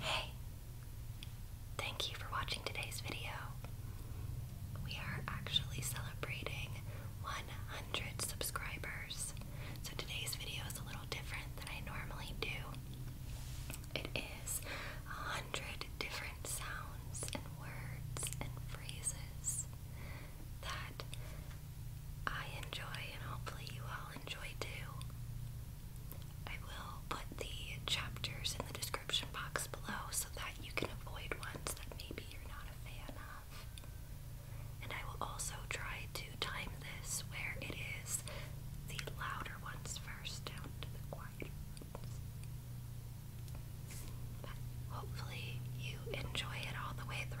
Hey! Thank you for watching today's video. We are actually celebrating 100 subscribers. So today's video is a little different than I normally do. It is 100 different sounds and words and phrases that I enjoy and hopefully you all enjoy too. I will put the chapters in the description box below so that you can avoid ones that maybe you're not a fan of. And I will also try to time this where it is the louder ones first down to the quiet. But hopefully you enjoy it all the way through.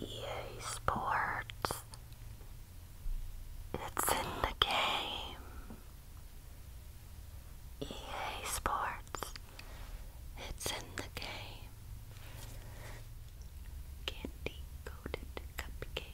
EA Sports. It's in the game. EA Sports. It's in the game. Candy coated cupcake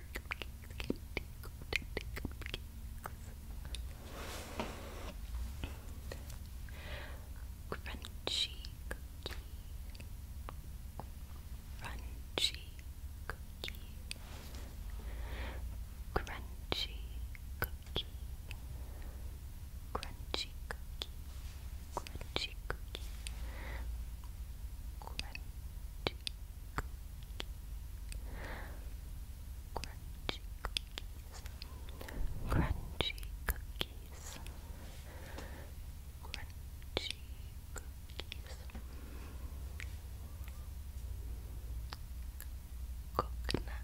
Crunchy cookie. Crunchy cookie. Crunchy cookie. Crunchy cookie. Crunchy cookie. Crunchy Crunchy cookies. Crunchy cookies. Crunchy cookies. Coconut. Coconut.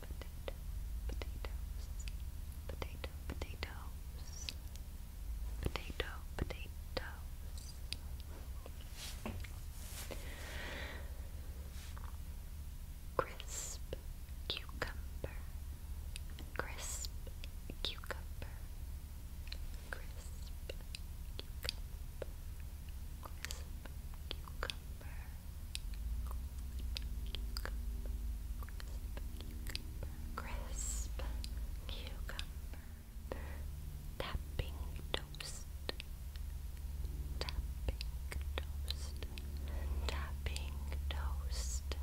Potato, potatoes, potato, potatoes, potato, potatoes. Crisp cucumber, crisp cucumber, crisp cucumber, crisp cucumber. Crisp cucumber, tapping toast, tapping toast, tapping toast,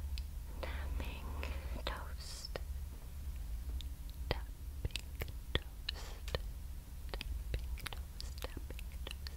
tapping toast, tapping toast, tapping toast, tapping toast,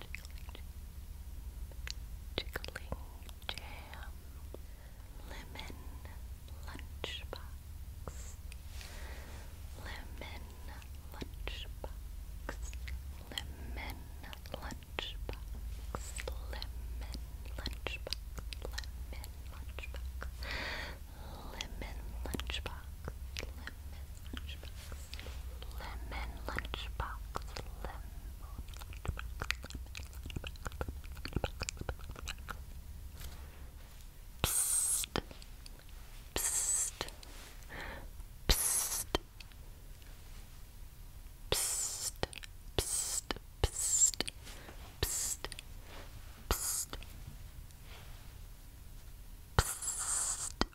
Jiggling Jam, Lemon Lunchbox, Lemon Lunchbox, Lemon Lunchbox, Lemon Lunchbox, Lemon Lunchbox, Lemon Lunchbox, Lemon lunchbox, lemon lunchbox, lemon lunchbox. Psst, psst, psst, psst, psst, psst, psst, psst. Psst,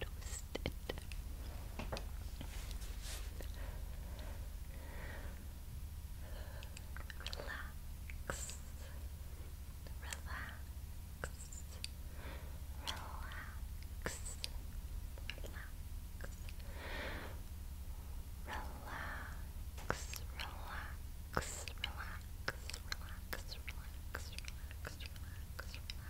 Toasted. Relax. Relax. Relax. Relax. Relax, relax, relax, relax, relax, relax, relax, relax.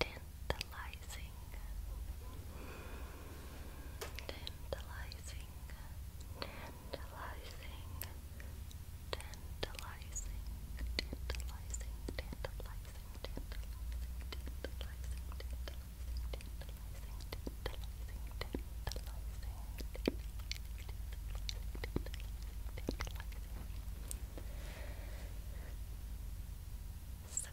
tantalizing, tantalizing, tantalizing, tantalizing, tantalizing, tantalizing, tantalizing, tantalizing. So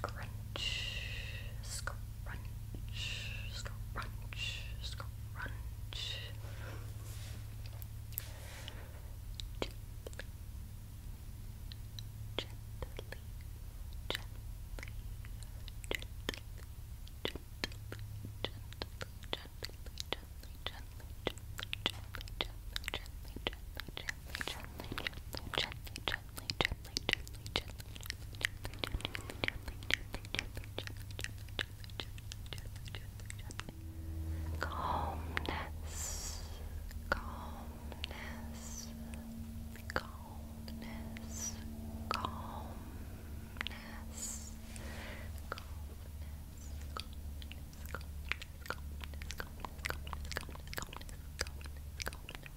crunch, scrunch, scrunch, scrunch, scrunch. Gently, gently, gently, gently, gently, gently, gently, gently, gently, gently, gently, gently, gently, gently, gently, gently, gently, gently, gently, gently, gently, gently, gently, gently, gently, gently, gently, gently, calmness, calmness, calmness, calmness, calmness, calmness, calmness, calmness, calmness, calmness, calmness, calmness, calmness,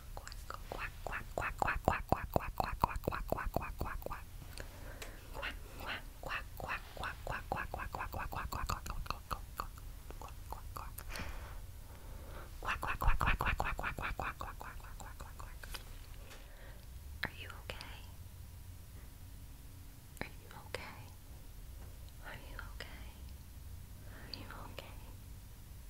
quack, quack, quack, quack, quack, quack, quack, quack, quack, quack, quack, quack, quack, quack, quack. Quack, quack, quack, quack, quack, quack, quack, quack, quack, quack, quack, quack, quack, quack, quack, quack, quack, quack, quack. Quack, quack, quack, quack, quack, quack, quack, quack, quack, quack, quack, quack, quack, quack, quack. Are you okay? Are you okay? Are you okay? Are you okay?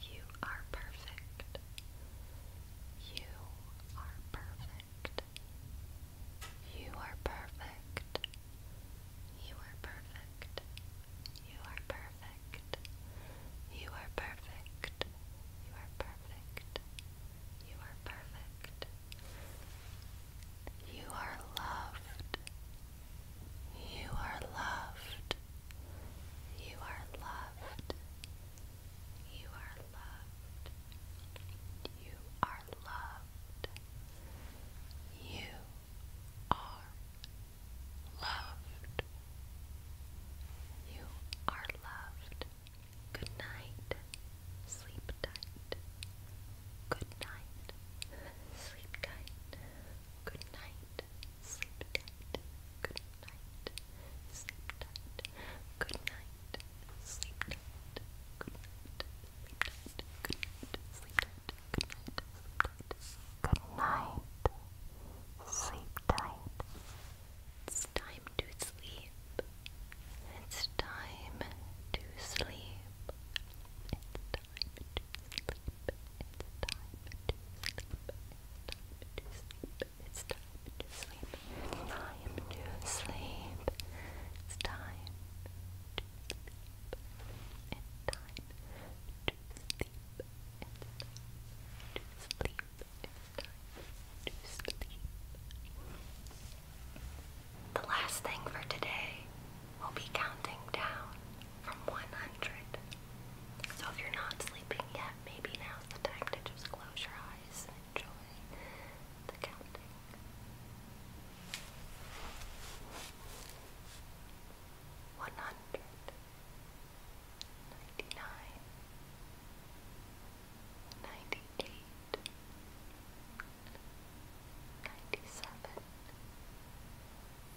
You are perfect. You are perfect. You are perfect. You are perfect. You are perfect. You are perfect. You are perfect. You are perfect. You are loved. You are loved. You are loved. You are loved. You are loved. You are loved. You are loved. Good night. Sleep tight. Good night. Sleep tight. Good night. Sleep Good night. Sleep Good night. Sleep Good night. Sleep Good night. Sleep Good night. Sleep Good night. sleep. It's time to sleep. It's time to sleep. It's time to sleep. It's time to sleep. It's time to sleep. It's time to sleep. It's time to sleep. It's time to sleep. The last thing for today will be counting down from 100. So if you're not sleeping yet, maybe now's the time to just close your eyes and enjoy the counting. One hundred ninety nine ninety eight ninety seven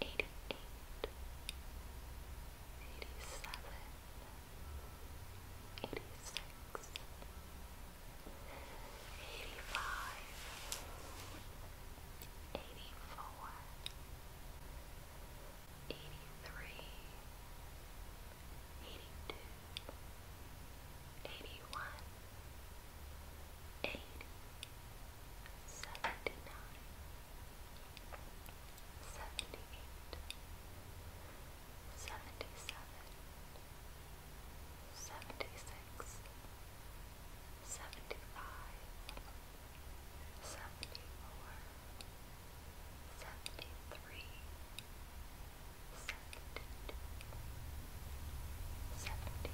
eighty-eight, eighty-seven, eighty-six, eighty-five, eighty-four, eighty-three, eighty-two, eighty-one, eighty. 81 seventy-nine, seventy-eight, seventy-seven, seventy-six, seventy-five, seventy-four, seventy-three, seventy-two, seventy-one. 71 72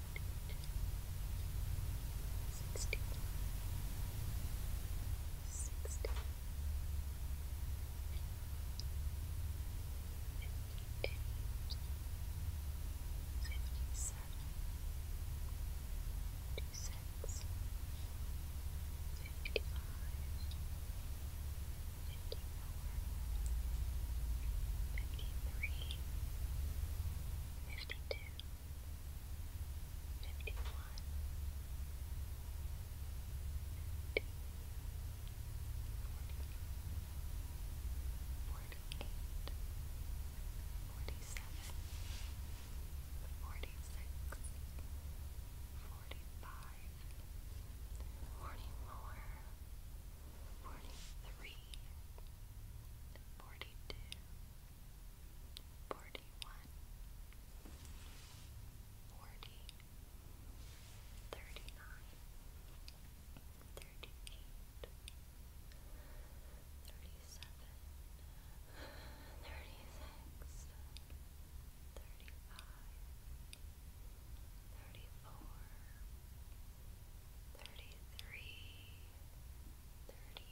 sixty, sixty, fifty-eight, fifty-seven, fifty-six, fifty-five, fifty-four, fifty-three, fifty-two fifty one, fifty, forty, forty eight, forty seven, forty six, forty five, forty four. 43 forty one, forty, thirty nine, thirty eight, thirty seven, thirty six, thirty five, thirty four, thirty three, thirty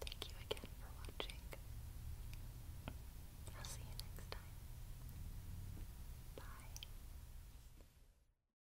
Thank you again for watching. I'll see you next time. Bye.